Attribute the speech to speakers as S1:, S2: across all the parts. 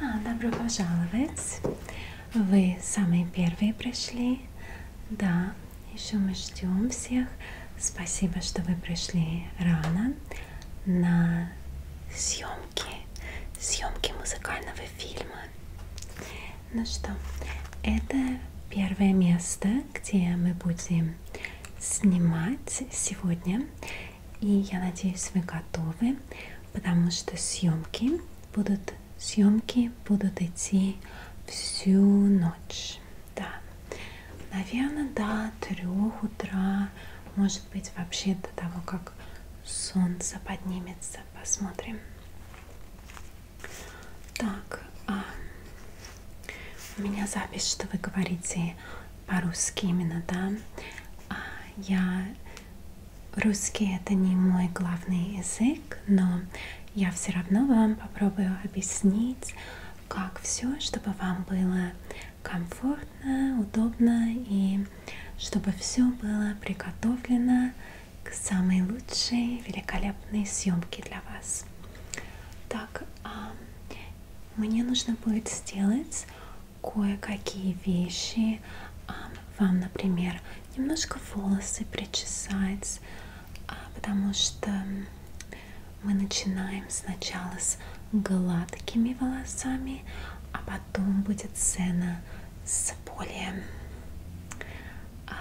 S1: А, добро пожаловать. Вы самые первые пришли. Да, еще мы ждем всех. Спасибо, что вы пришли рано на съемки, съемки музыкального фильма. Ну что, это первое место, где мы будем снимать сегодня. И я надеюсь, вы готовы, потому что съемки будут, съемки будут идти всю ночь. Да, наверное, до трех утра, может быть, вообще до того, как солнце поднимется. Посмотрим. Так, а, у меня запись, что вы говорите по-русски именно, да? А я... Русский это не мой главный язык, но я все равно вам попробую объяснить, как все, чтобы вам было комфортно, удобно и чтобы все было приготовлено к самой лучшей, великолепной съемке для вас. Так, а, мне нужно будет сделать кое-какие вещи. А, вам, например, немножко волосы причесать, а, потому что мы начинаем сначала с гладкими волосами, а потом будет сцена с более, а,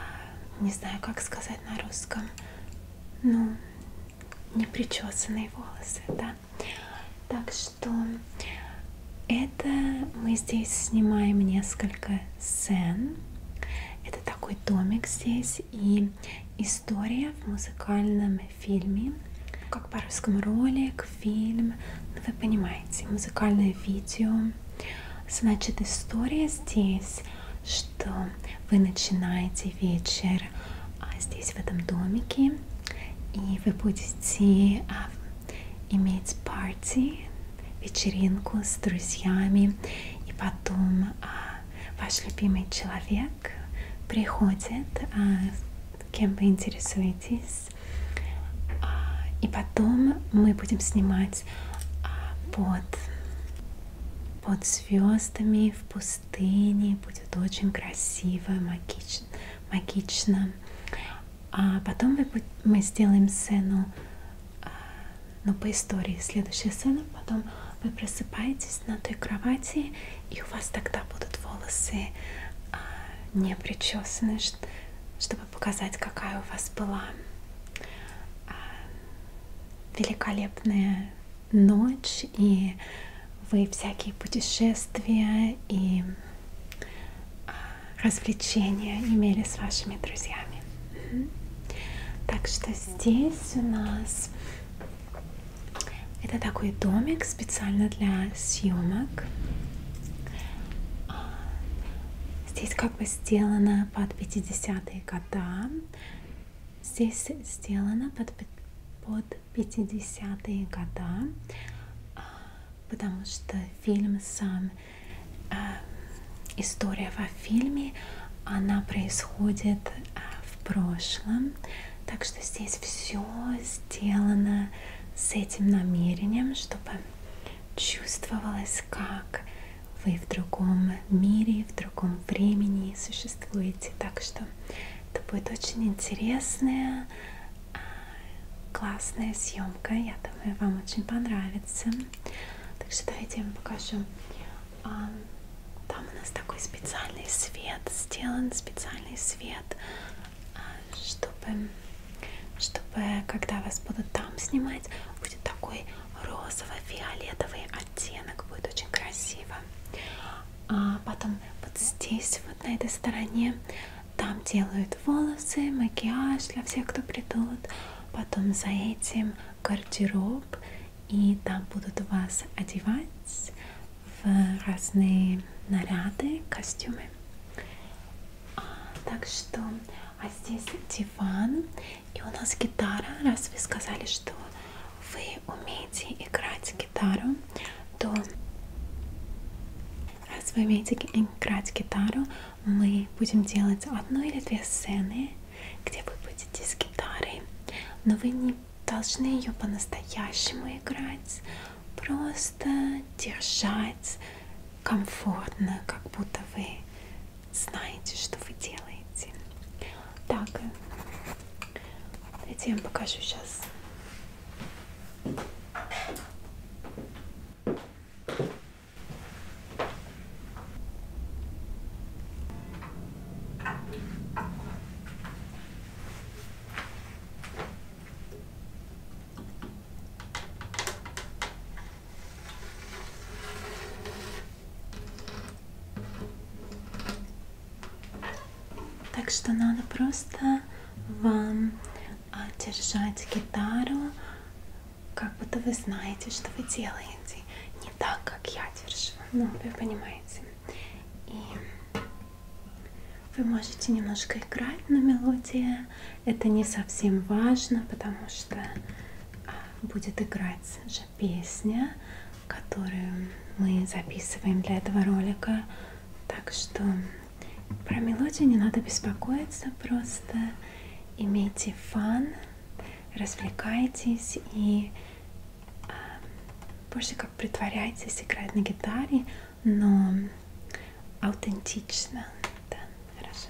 S1: не знаю, как сказать на русском, ну, непричесанные волосы, да. Так что это мы здесь снимаем несколько сцен. Это такой домик здесь и история в музыкальном фильме. Как по-русскому ролик, фильм, ну, вы понимаете, музыкальное видео. Значит, история здесь что вы начинаете вечер а, здесь, в этом домике, и вы будете а, иметь парти, вечеринку с друзьями, и потом а, ваш любимый человек приходит, кем вы интересуетесь, и потом мы будем снимать под под звездами в пустыне будет очень красиво, магично. магично. А потом мы, мы сделаем сцену, а, ну по истории, следующая сцена, потом вы просыпаетесь на той кровати, и у вас тогда будут волосы а, не причесаны, чтобы показать, какая у вас была а, великолепная ночь, и вы всякие путешествия и а, развлечения имели с вашими друзьями. Так что здесь у нас это такой домик специально для съемок. А, здесь как бы сделано под 50-е года. Здесь сделано под, под 50-е года, а, потому что фильм сам, а, история во фильме, она происходит а, в прошлом. Так что здесь все сделано с этим намерением, чтобы чувствовалось как вы в другом мире, в другом времени существуете. Так что это будет очень интересная, а, классная съемка. Я думаю, вам очень понравится. Так что давайте я вам покажу. А, там у нас такой специальный свет сделан, специальный свет, а, чтобы чтобы когда вас будут там снимать, будет такой розово-фиолетовый оттенок, будет очень красиво. А потом вот здесь, вот на этой стороне, там делают волосы, макияж для всех, кто придут. Потом за этим гардероб, и там будут вас одевать в разные наряды, костюмы. А, так что, а здесь диван, и у нас гитара, раз вы сказали, что вы умеете играть гитару, то раз вы умеете играть гитару, мы будем делать одну или две сцены, где вы будете с гитарой, но вы не должны ее по-настоящему играть, просто держать комфортно, как будто вы знаете, что вы делаете. Так, э, давайте я вам покажу сейчас. Так что надо просто вам а, держать гитару, как будто вы знаете, что вы делаете. Не так, как я держу. Ну, вы понимаете. И вы можете немножко играть на мелодии. Это не совсем важно, потому что а, будет играть же песня, которую мы записываем для этого ролика. Так что про мелодию не надо беспокоиться, просто имейте фан, развлекайтесь и э, больше как притворяйтесь играть на гитаре, но аутентично. Да, хорошо.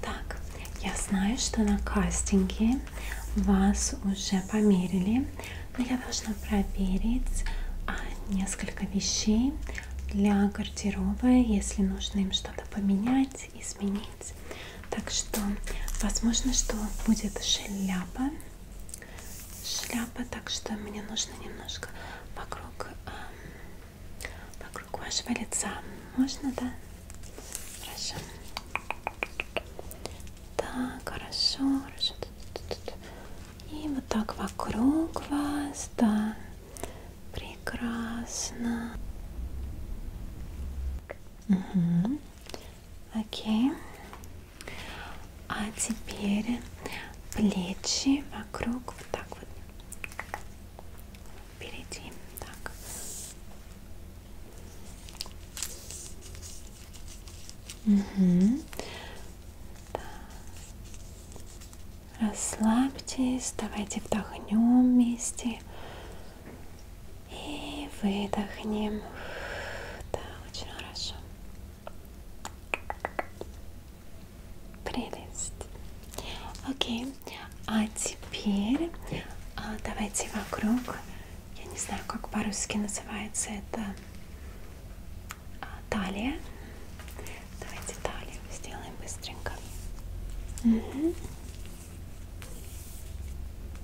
S1: Так, я знаю, что на кастинге вас уже померили, но я должна проверить а, несколько вещей для гардероба, если нужно им что-то поменять, изменить. Так что, возможно, что будет шляпа шляпа, так что мне нужно немножко вокруг, э, вокруг вашего лица. Можно, да? Хорошо. Так, хорошо, хорошо. И вот так вокруг вас, да. Прекрасно. Угу. Окей. А теперь плечи вокруг вот так вот впереди. Так. Угу. Да. Расслабьтесь, давайте вдохнем вместе и выдохнем. Да, очень хорошо. Прелесть. Окей. А теперь а, давайте вокруг. Я не знаю, как по-русски называется это а, талия. Давайте талию сделаем быстренько. Угу.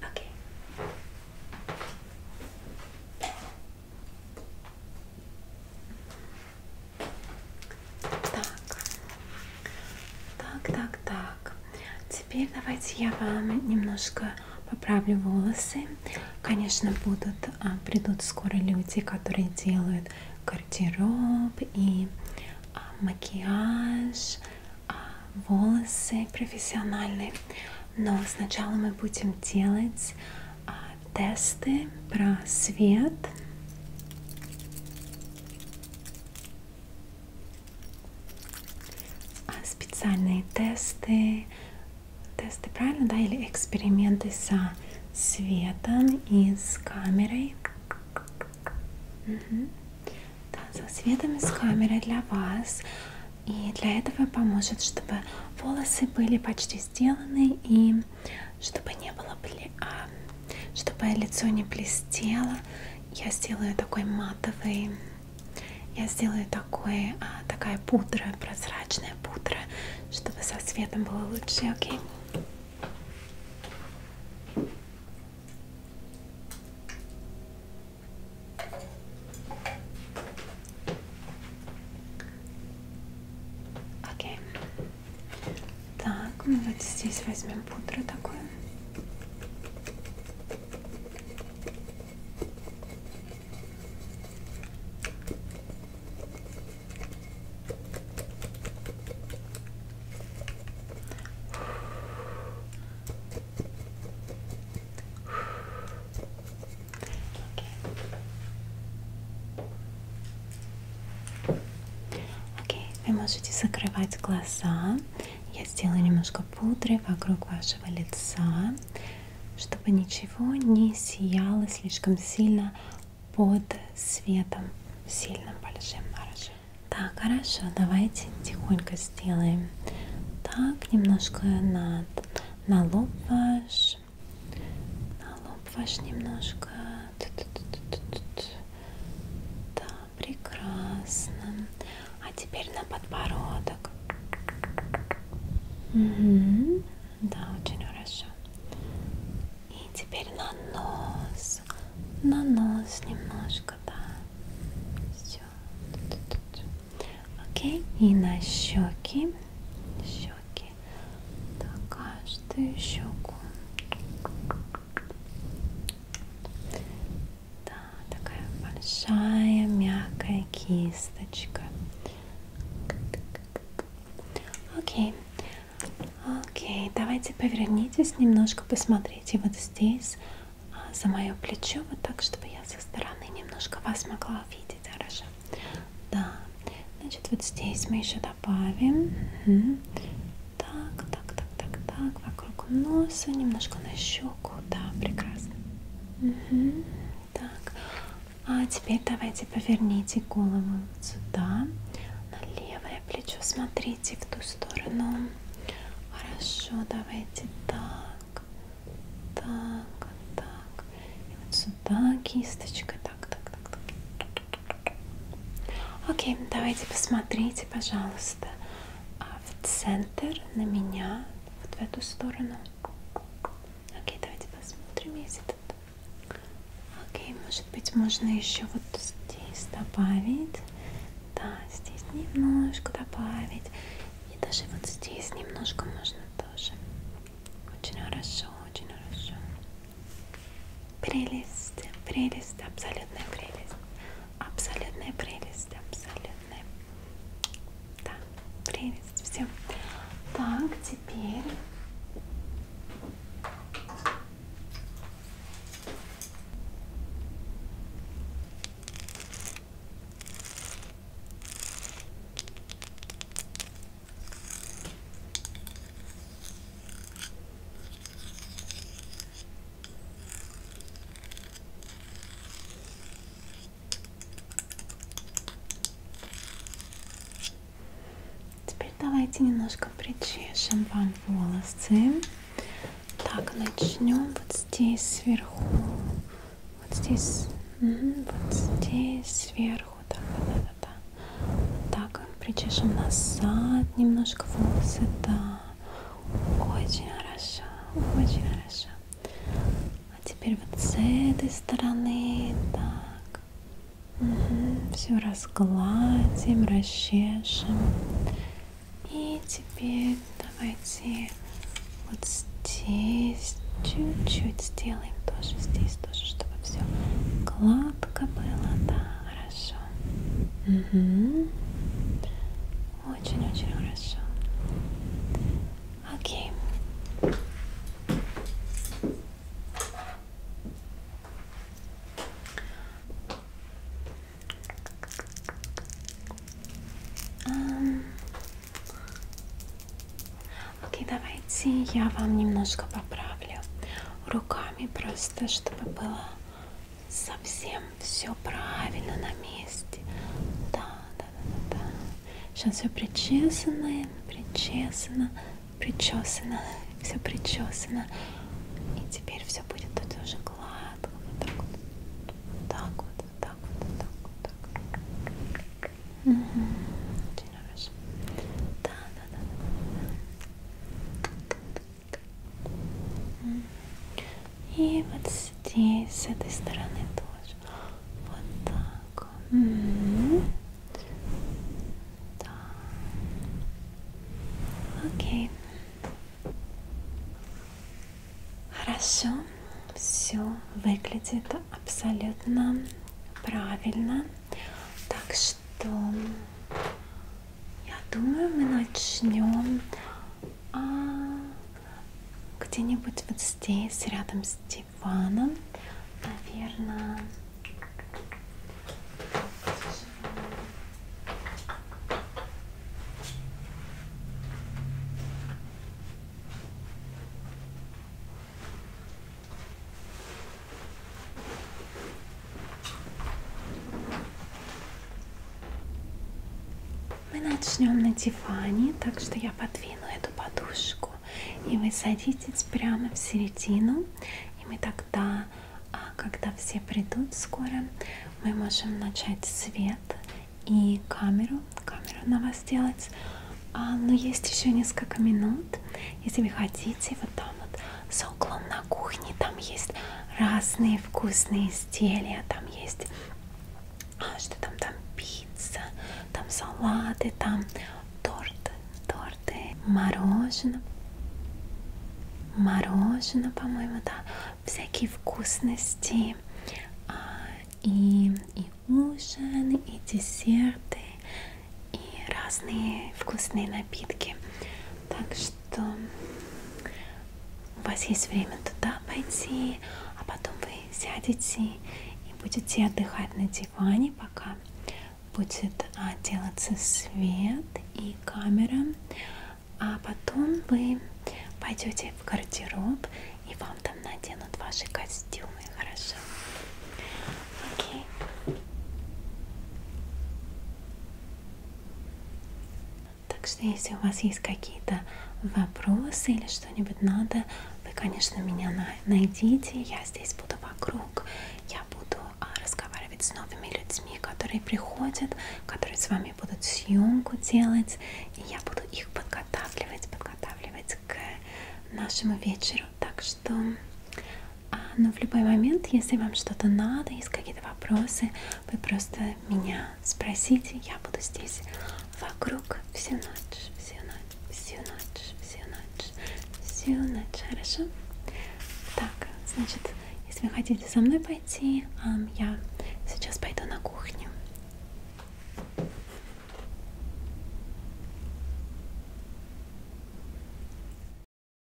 S1: Okay. Так. Так, так, так. Теперь давайте я вам немножко поправлю волосы. Конечно, будут а, придут скоро люди, которые делают гардероб и а, макияж, а, волосы профессиональные. Но сначала мы будем делать тесты про свет. А специальные тесты, тесты, правильно, да, или эксперименты со светом и с камерой. Угу. Да, со светом и с камерой для вас. И для этого поможет, чтобы волосы были почти сделаны и чтобы не было, а, чтобы лицо не блестело я сделаю такой матовый я сделаю такой, а, такая пудра, прозрачная пудра, чтобы со светом было лучше, окей? Окей. Так, мы вот здесь возьмем пудру такую. Окей, okay. вы можете закрывать глаза я сделаю немножко пудры вокруг вашего лица, чтобы ничего не сияло слишком сильно под светом сильным большим. Хорошо. Так, хорошо. Давайте тихонько сделаем так немножко над на лоб ваш, на лоб ваш немножко. Т -т -т -т -т -т. Так, прекрасно. А теперь на подбородок. Угу. Да, очень хорошо. И теперь на нос. На нос немножко, да. Все. Окей. И на щеки. Щеки. Так, каждую щеку. Да, такая большая мягкая кисточка. Окей, окей, давайте повернитесь немножко, посмотрите вот здесь а, за мое плечо, вот так, чтобы я со стороны немножко вас могла видеть, хорошо? Да, значит, вот здесь мы еще добавим так, так, так, так, так, вокруг носа, немножко на щеку, да, прекрасно. Угу. Так, а теперь давайте поверните голову вот сюда, на левое плечо, смотрите в ту сторону. Хорошо, давайте так, так, так, и вот сюда кисточкой, так, так, так, так. Окей, давайте посмотрите, пожалуйста, а в центр на меня, вот в эту сторону. Окей, давайте посмотрим, если тут. Окей, может быть, можно еще вот здесь добавить. Да, здесь немножко добавить. И даже вот здесь немножко можно тоже. Очень хорошо, очень хорошо. Прелесть, прелесть, абсолютная прелесть абсолютная прелесть, абсолютная, да, прелесть, все. Так, теперь Теперь давайте немножко причешем вам волосы. Так, начнем вот здесь сверху. Вот здесь. Угу, вот здесь сверху. Так, да, да, да. Так, причешем назад немножко волосы. Да. Очень хорошо, очень хорошо. А теперь вот с этой стороны, так. Угу. Все разгладим, расчешем. И теперь давайте вот здесь чуть-чуть сделаем тоже здесь тоже, чтобы все гладко было, да, хорошо. Угу. Очень-очень хорошо. Окей. Um. Окей, давайте я вам немножко поправлю руками, просто чтобы было совсем все правильно на месте. Да, да, да, да. Сейчас все причесано, причесано, причесано, все причесано. И теперь все будет тут уже гладко. Вот так вот. Так вот, вот так вот, вот так вот. Так. Угу. Очень хорошо. Да, да, да, да. И вот здесь, с этой стороны тоже. Вот так. Угу. Да. Окей. Хорошо. Все выглядит абсолютно правильно. Так что я думаю, мы начнем а, где-нибудь вот здесь, рядом с диваном. Наверное. Мы начнем на диване, так что я подвину эту подушку, и вы садитесь прямо в середину, и мы тогда, а, когда все придут скоро, мы можем начать свет и камеру, камеру на вас делать. А, но есть еще несколько минут, если вы хотите, вот там вот за углом на кухне там есть разные вкусные изделия там есть а, что там там пицца там салаты там торты торты мороженое мороженое по моему да всякие вкусности а, и, и ужин и десерты и разные вкусные напитки так что что у вас есть время туда пойти, а потом вы сядете и будете отдыхать на диване, пока будет а, делаться свет и камера, а потом вы пойдете в гардероб и вам там наденут ваши костюмы, хорошо? Окей. Так что если у вас есть какие-то вопросы или что-нибудь надо, вы, конечно, меня найдите. Я здесь буду вокруг. Я буду а, разговаривать с новыми людьми, которые приходят, которые с вами будут съемку делать. И я буду их подготавливать, подготавливать к нашему вечеру. Так что а, но в любой момент, если вам что-то надо, есть какие-то вопросы, вы просто меня спросите. Я буду здесь вокруг всю ночь, всю ночь, всю ночь, всю ночь, всю ночь. Хорошо? Так, значит, если вы хотите со мной пойти, я сейчас пойду на кухню.